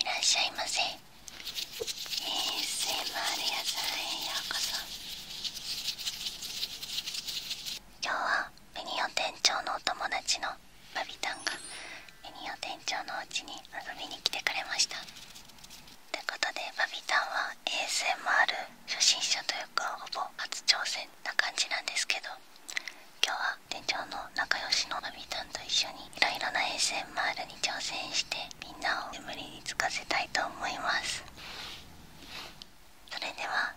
いらっしゃいませ ASMR 屋さんへようこそ今日はベニオ店長のお友達のバビタンがベニオ店長のおちに遊びに来てくれましたということでバビタンは ASMR 初心者というかほぼ初挑戦な感じなんですけど今日は店長の仲良しののびちゃんと一緒にいろいろな ASMR に挑戦してみんなを眠りにつかせたいと思いますそれでは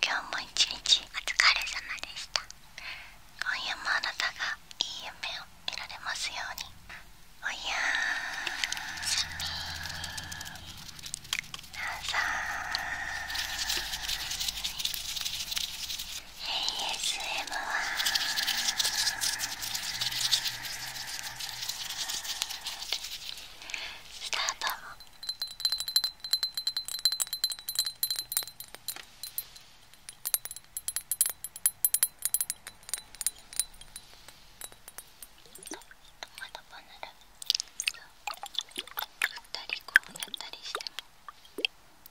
今日も一日お疲れ様でした今夜もあなたがいい夢を見られますようにおやーすみなさーい ASM はスタートまたバナナ振ったりこうやったりしても。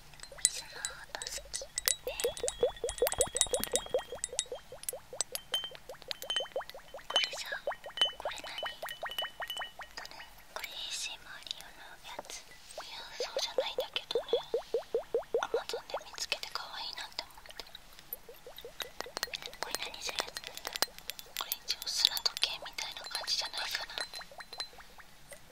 水の音好きねこれさこれ何とこれ ASMR 用のやついやそうじゃないんだけどね Amazon で見つけて可愛いなって思ってこれ何するやつこれ一応砂時計みたいな感じじゃないかな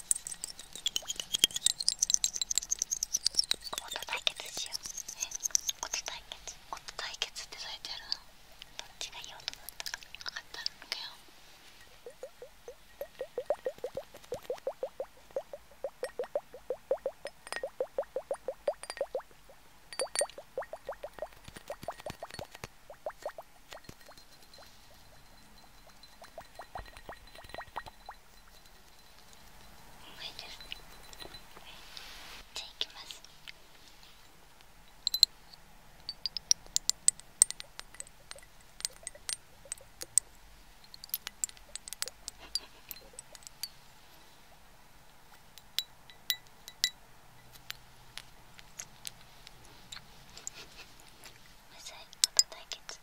音対決しようえ音対決音対決ってされてるのどっちがいい音だったか分かったんだよあいいですじゃあいきます無罪こと対決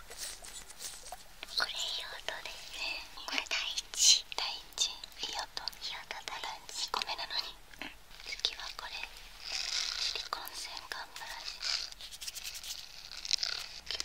これいい音ですねこれ第一第一いい音いい音だ第一個目なのに、次はこれ離婚洗顔ブラシ気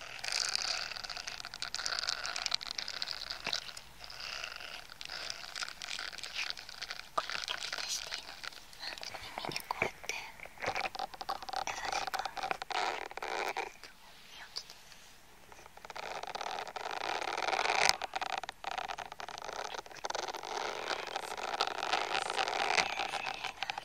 耳にこ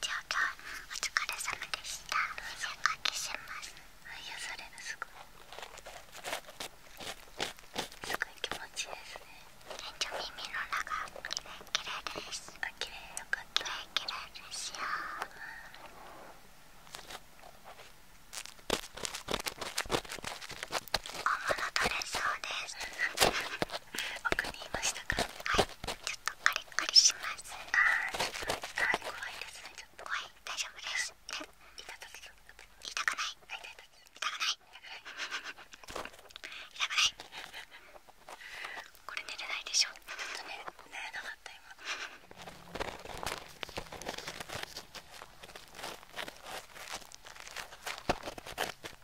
長がお疲れ様でしたおかけしますすごい気持ちいいですね店長耳の中きれですあきよかったきれですよ小物取れそうです奥にいましたかはいちょっとカリカリしますあーちょっとあー怖いですねちょっと怖い大丈夫です痛くない痛くない痛くない痛くないこれ寝れないでしょちょっとね寝れなかった今はいす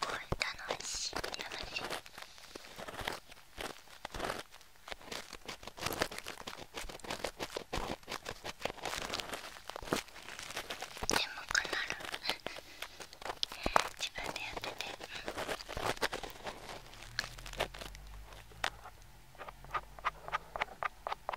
ごい楽しい楽しいでもかなる自分でやってて。う ん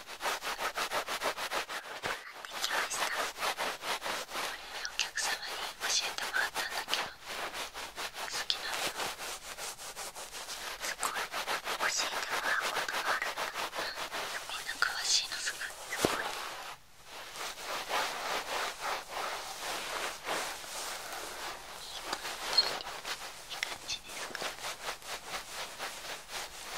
きましたこれお客様に教えてもらったんだけど好きなのすごい教えてもらうことがあるんだすごいな詳しいのすごいすごいいい感じですか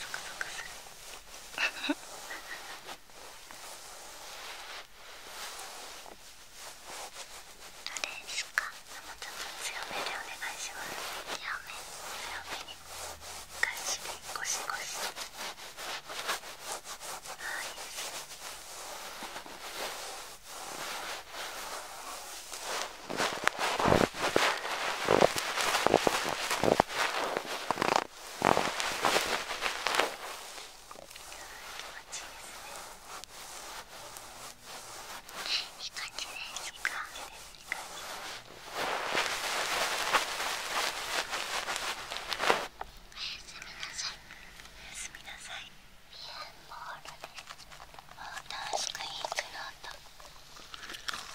ゾクゾクするあれですかもうちょっと強めでお願いします強め強めにガシでゴシゴシあいいですねいい感じですかおやすみなさいおやすみなさいピアンボールですもう楽しくいいくろうと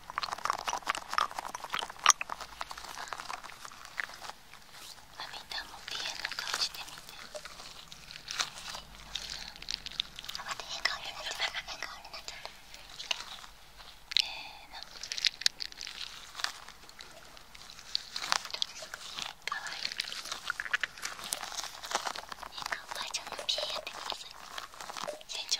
あみたんもピエの顔してみてあ待って変顔になっちゃっ顔になっちゃったせのいい顔ばあちゃんのピエやってください船長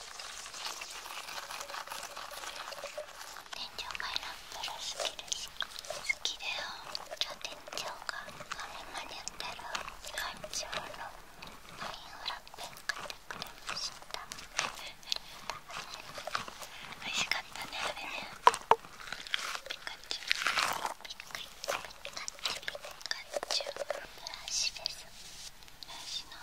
天井マイランプルスキルス好きだよじゃあ天井があれまでやってる感情のマインラップ買ってくれました美味しかったねあれねピカチュウピカチュピカチュウピカチュウブラシですブラシの音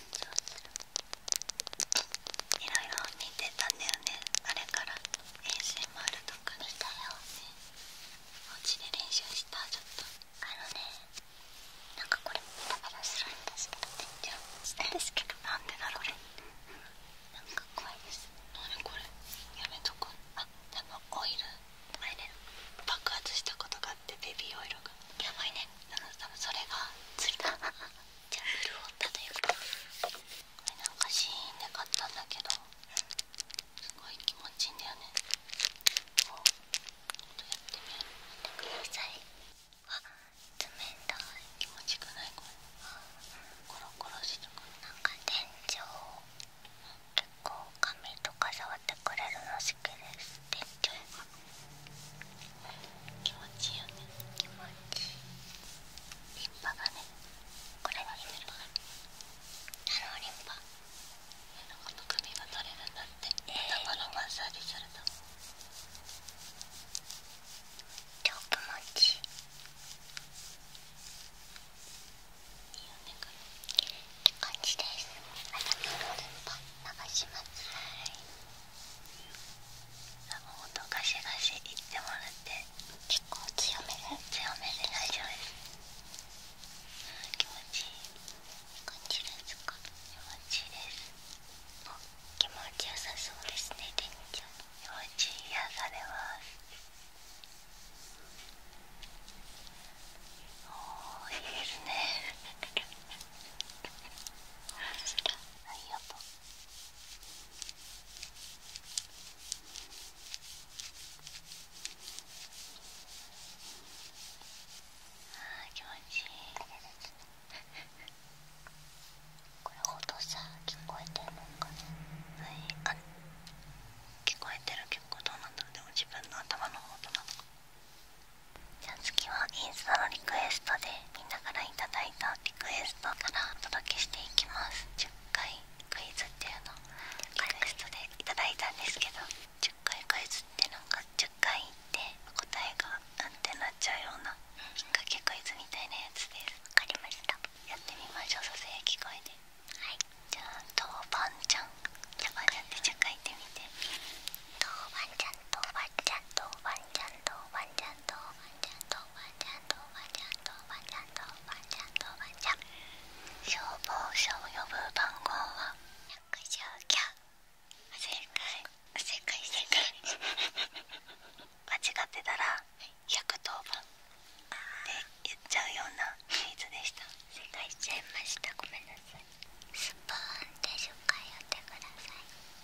いろいろ見てたんだよねあれから ASMR とか見たよ、ね、お家で練習したちょっとあのねなんかこれもペタんですけじゃあですけどなんでだろうなんか怖いですなにこれやめとこあ多分オイル前ね爆発したことがあってベビーオイルがやばいね多分それがついた ジャムルをただよくなんかシーンで買ったんだけどすごい気持ちいいんだよねこうとやってみてくださいあ冷たい気持ちよないこれコロコロしてくなんか店長結構髪とか触ってくれるの好きです店長気持ちいいよね気持ちいいリンパねこれは出るからあのリンパこの首が取れるんだって頭のマッサージすると超気持ちいいいいよねこれって感じです頭のリンパ流しますはいもっとガシガシいってもらって結構強めで強めで大丈夫です気持ちいい感じですか気持ちいいです気持ちよさそうですねりんち気持ち癒されますおー いいですねありがとう気持ちいいこれ音さ聞こえてるのかな聞こえてる結どうなんだろうでも自分の頭の音なのかじゃあ次はインスタのリクエストで見ながらいただいたリクエストからお届けしていきます10回クイズっていうのリクエストでいただいたんですけど10回クイズってなんか10回いって答えがうんってなっちゃうような引っ掛けクイズみたいなやつです分かりましたやってみましょうささやき声ではいじゃあ豆板醤豆板醤って10回言ってみて豆ン醤豆板醤豆板醤豆板醤ゃんとおばちゃんとおばちゃんとおばちゃんとおばちゃんとおばちゃんとゃん消防車を呼ぶ番号は119正解正解正解間違ってたら110番って言っちゃうようなクイズでした正解しちゃいましたごめんなさいスプーンで10回やってください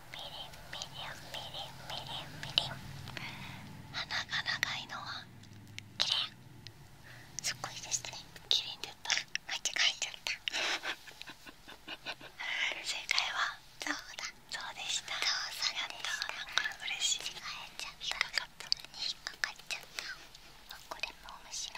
鼻が長いのは綺麗すっごいですね綺麗に出た間違えちゃった正解はそうだそうでしたそうさやったなんか嬉しい間違えちゃった引っかかっちゃったこれも面白い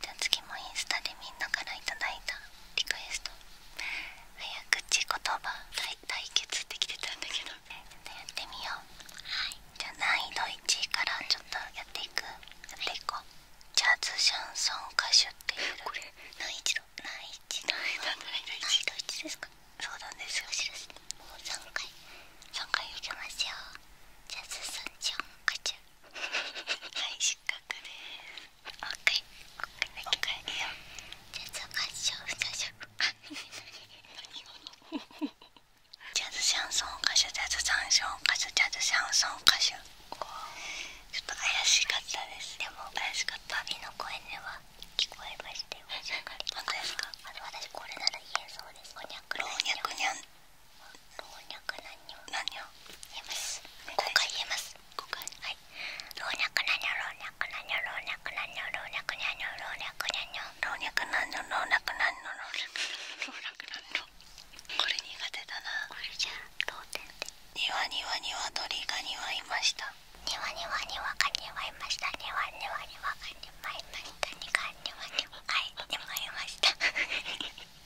じゃあ次もインスタでみんなからいただいたリクエスト早口言葉対決ってきてたんだけどやってみようはいじゃあ難易度1からちょっとやっていくやっていこうジャズシャンソン歌手っていうこれ難易度難易度難易度1ですかそうなんですよもう3回3回いきますよジャズシャンソン歌手 はい失格です回もう一回だよじゃあそうジャズシャンソ歌手ジャズシ歌手歌手ちょっと怪しかったですでも怪しの声では聞こえましたよかり本す私これなら言えそうです老若老若老若男女回言えますはい老若男女老若男女老若男女老若男女老若男女老若男女老若男女老若男女これ苦手だなこれじゃあ同点でにわにわにわ鳥がにわいましたにわにわにわかにわいましたにわにわにわかにわいましたにわにわにわかにわいました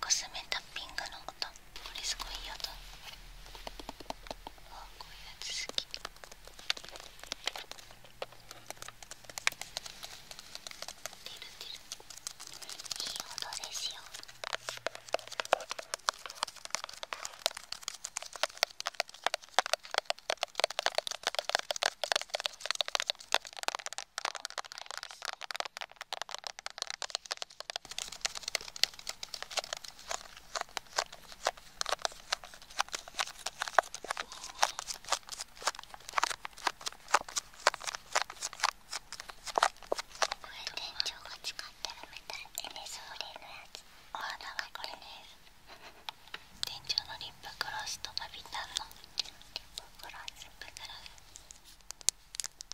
コスメタッピングの音これすごいいい音あこういうやつ好きてるてるいい音ですよこれですね。店長が使ってるみたいでね、ソーレのやつお花がこれです店長のリップクロスとかビタンのリップクロスリップクロス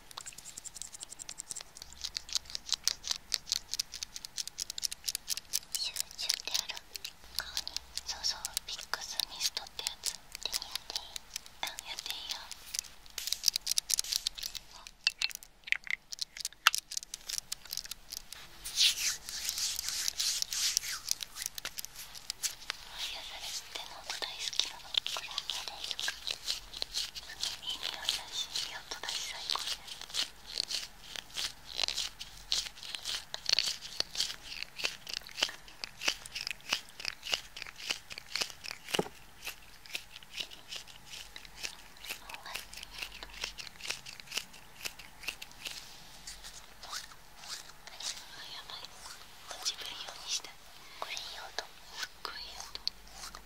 シュッシュッてある顔にそうそうビックスミストってやつ手にやっていいうやっていいよ癒されての大好きなのこれだけですかいい匂しいい音だし最高すにっごい音れ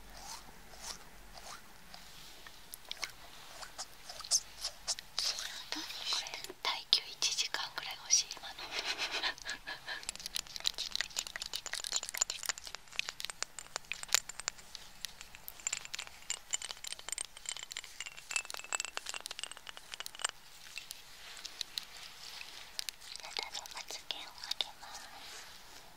耐久1時間ぐらい欲しい今のただのまつげをあげます。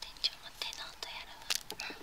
店長も手の音やるわこれは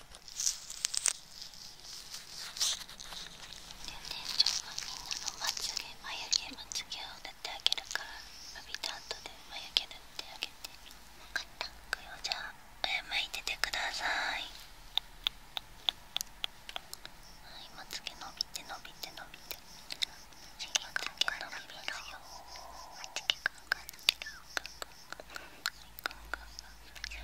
店長がみんなのまつげ眉毛まつげを塗ってあげるから伸びた後で眉毛塗ってあげて分かったくじゃあ上向いててくださいはいまつげ伸びて伸びて伸びてまつげまつげくんくはい、じゃあ次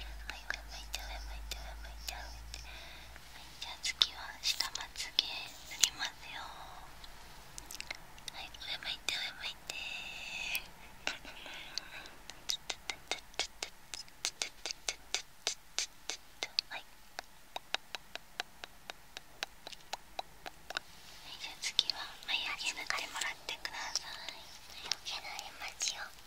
は下まつげ塗りますよはい上向いて上向いてはいじゃあ次は眉毛抜いてもらってください眉毛の絵文字を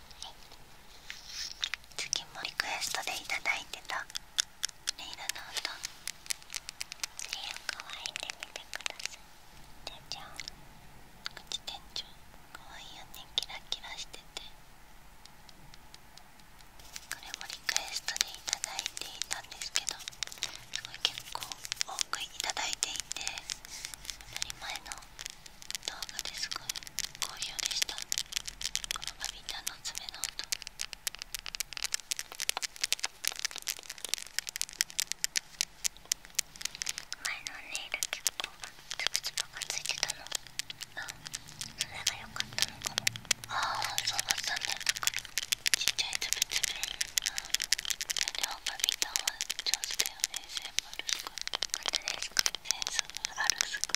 次もリクエストでいただいてたレイラの音手を乾いてみてください店長口店長かわいいよねキラキラしててこれもリクエストでいただいていたんですけどすごい結構多くいただいていて当たり前の動画ですごい好評でしたみんなの爪の音前のネイル結構つぶつぶがついてたのあそれが良かったのかもああそうだったねちっちゃいつぶつぶでもバビタンは上手だよねセンスあるセンスあるすごい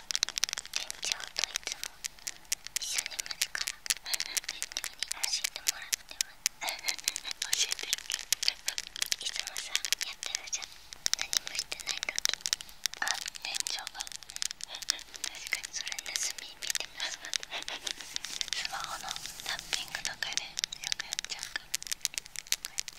一緒に待つからに教えてもらってます教えてるけどいつもさやってるじゃん何もしてない時あ店長が確かにそれ盗み見てますスマホのタッピングとかでよくやっちゃうからこうやって。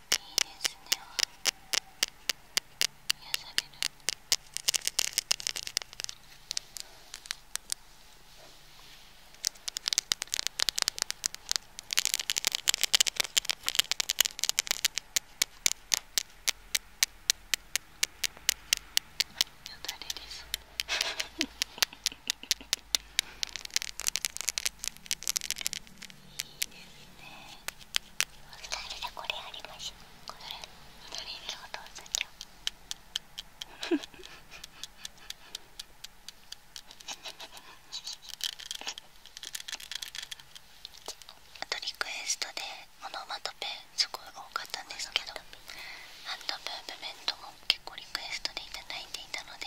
いですね癒されるよだれです。二人でこれあとリクエストでオノマトすごい多かったんですけどハンドムーブメントも結構リクエストでいただいていたので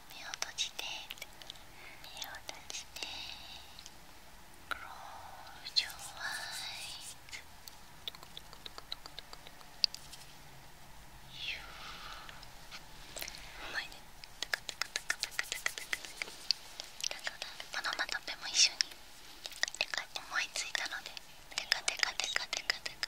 目を閉じて目を閉じて Close your eyes You うまいねだからオノマトペも一緒に思いついたのでテカテカテカテカテカ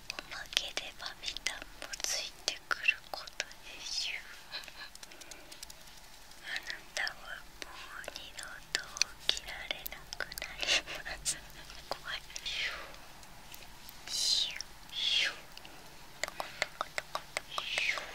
を曲げればビたんもついてくることでしょうあなたはもう二度と起きられなくなります怖いシュシュシュト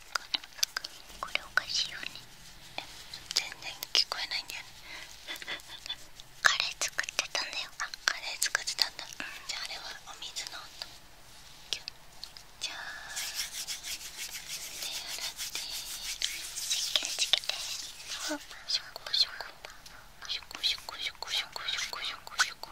これおかしいよね全然聞こえないんだよね カレー作ってたんだよあカレー作ってたんだ、じゃああれはお水の音キュッじゃあ手洗ってしっけしっけてシュコシュコシュコシュコシュコシュコシュコシュコシュコ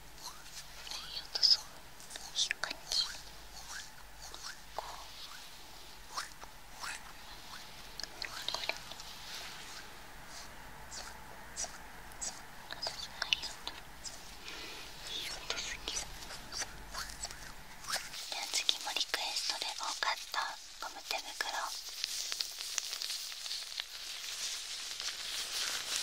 で、と次もリクエストで多かったゴム手袋。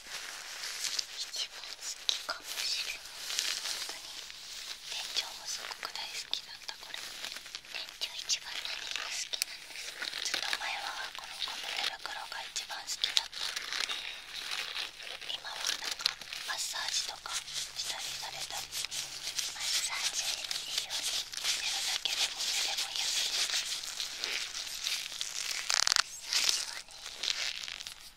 一番好きかもしれない本当に店長もすごく大好きだったこれ店長一番何が好きなんですかずっと前はこのゴム手袋が一番好きだった今はなんかマッサージとかしたりされたりマッサージいいように寝るだけでも寝れもやすいマッサージはね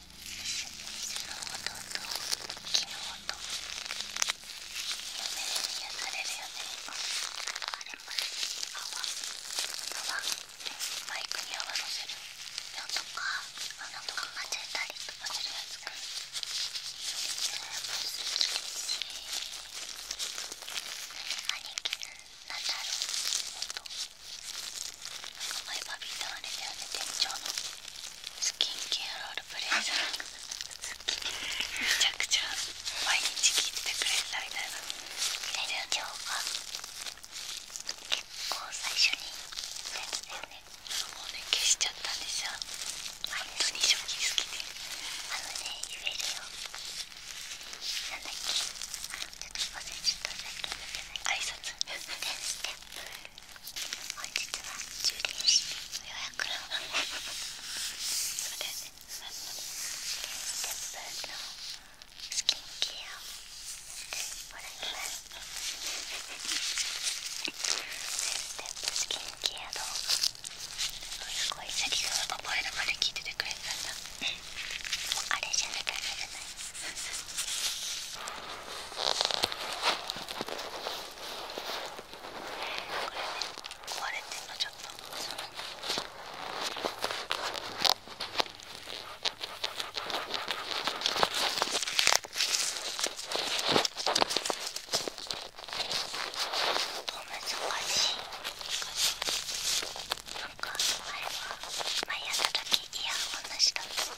木の音夢で癒されるよねああれもあ泡は。マイクに泡のせるやつとか穴とか混ぜたりとかするやつがいい兄貴なんだろうほんとなんか前バビーとあれだよね店長の。スキンケアロールプレイさんめちゃくちゃ毎日聞いてくれるみたいなレが結構最初にもうね消しちゃったんですよあのね言えるよなんだちょっと忘れ挨拶本日は充電し予約のそれで、ね、10分のスキンケアをもらいますステップスキンケアの。すごい先ほが覚えるまで聞いててくれたんだあれじゃなきらない壊れてんのちょっとそ難しいなんか前は前やった時イヤホンなしだった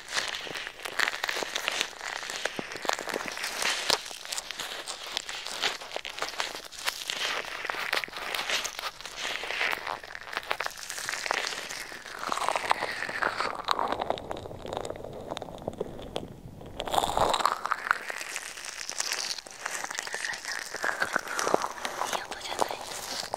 いい音じゃないですか。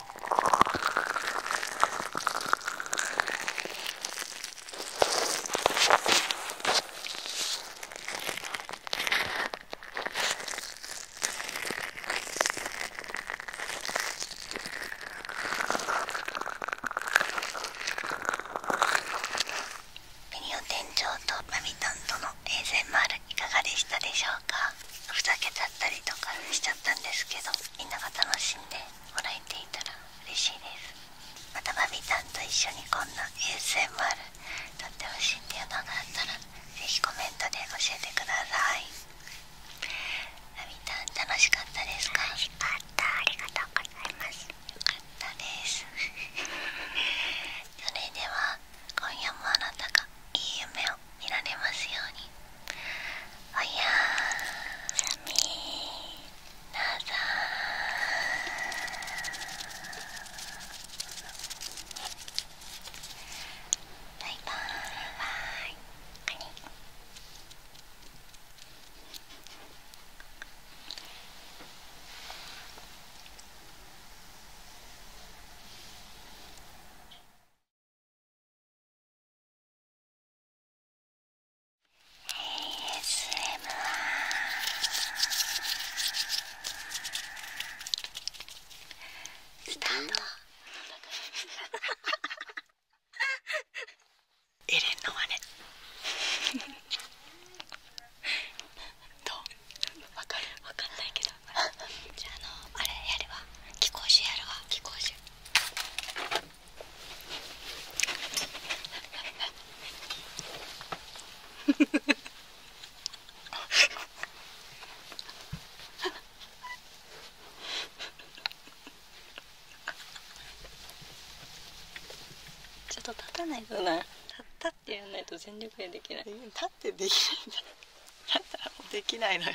ペニオ店長とバビタンとの ASMR いかがでしたでしょうかふざけちゃったりとかしちゃったんですけどみんなが楽しんでもらえていたら嬉しいですまたバビさんと一緒にこんな ASMR 撮ってほしいっていうのがあったらぜひコメントで教えてくださいバビタン楽しかったですか楽しかたありがとうございますよかったですいられますようにおやすみなさーバイバイスタートエレンの真似どわかるわかんないけどじゃああのあれやるわ貴公子やるわ貴公子ちょっと立たないとな立ったってやんないと全力でできない立ってできないんだ立ったらもうできないのよ